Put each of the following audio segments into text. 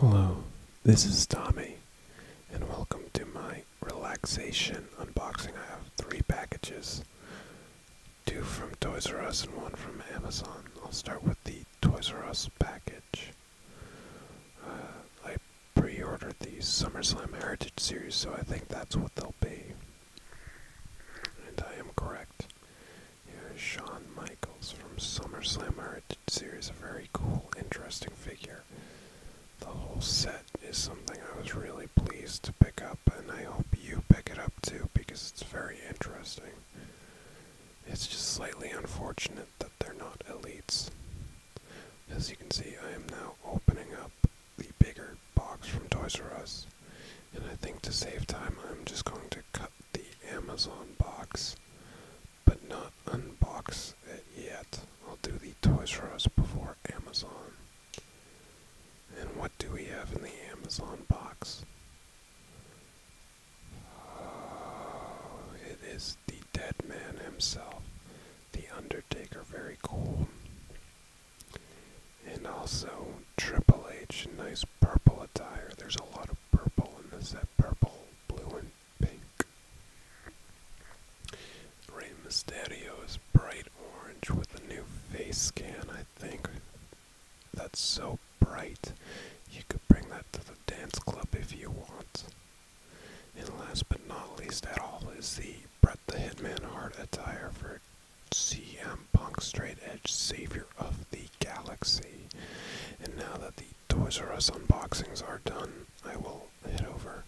Hello, this is Tommy, and welcome to my relaxation unboxing. I have three packages two from Toys R Us and one from Amazon. I'll start with the Toys R Us package. Uh, I pre ordered the SummerSlam Heritage series, so I think that's what they'll be. And I am correct. Here is Shawn Michaels from SummerSlam Heritage Series, a very cool, interesting figure. The whole set is something I was really pleased to pick up, and I hope you pick it up too because it's very interesting. It's just slightly unfortunate that they're not elites. As you can see, I am now opening up the bigger box from Toys R Us, and I think to save time, I'm just going to cut the Amazon box, but not unbox it yet. I'll do the Toys R Us before Amazon. And what do we have in the Amazon box? Oh, it is the dead man himself, the Undertaker. Very cool. And also Triple H, nice purple attire. There's a lot of purple in this, that purple, blue, and pink. Rey Mysterio is bright orange with a new face scan, I think. That's so bright. You could bring that to the dance club if you want. And last but not least at all is the Bret the Hitman Hart attire for CM Punk Straight Edge Savior of the Galaxy. And now that the Toys R Us unboxings are done, I will head over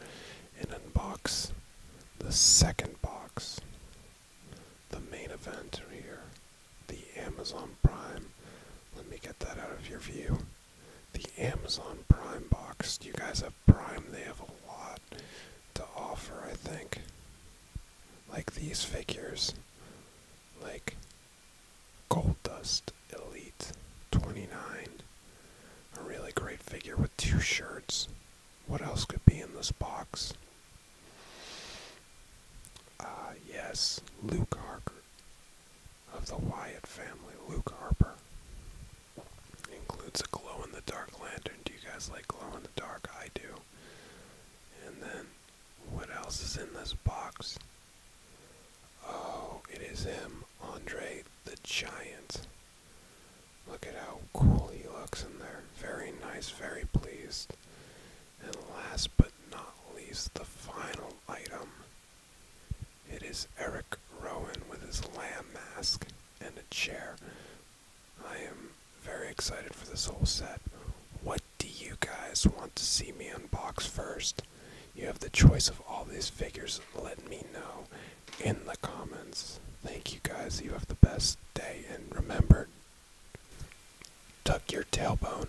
and unbox the second box. The main event here, the Amazon Prime. Let me get that out of your view. The Amazon Prime box. Do You guys have Prime, they have a lot to offer, I think. Like these figures, like Gold Dust Elite 29. A really great figure with two shirts. What else could be in this box? Ah, yes, Luke Harker of the Wyatt family, Luke Harper. includes a glow in the dark lantern. Do you guys like glow in the dark? I do. And then, what else is in this box? Oh, it is him, Andre the Giant. Look at how cool he looks in there. Very nice, very pleased. And last but not least, the final item it is Eric Rowan with his lamb mask and a chair. I am very excited for this whole set. What do you guys want to see me unbox first? You have the choice of all these figures. Let me know in the comments. Thank you guys. You have the best day. And remember, tuck your tailbone.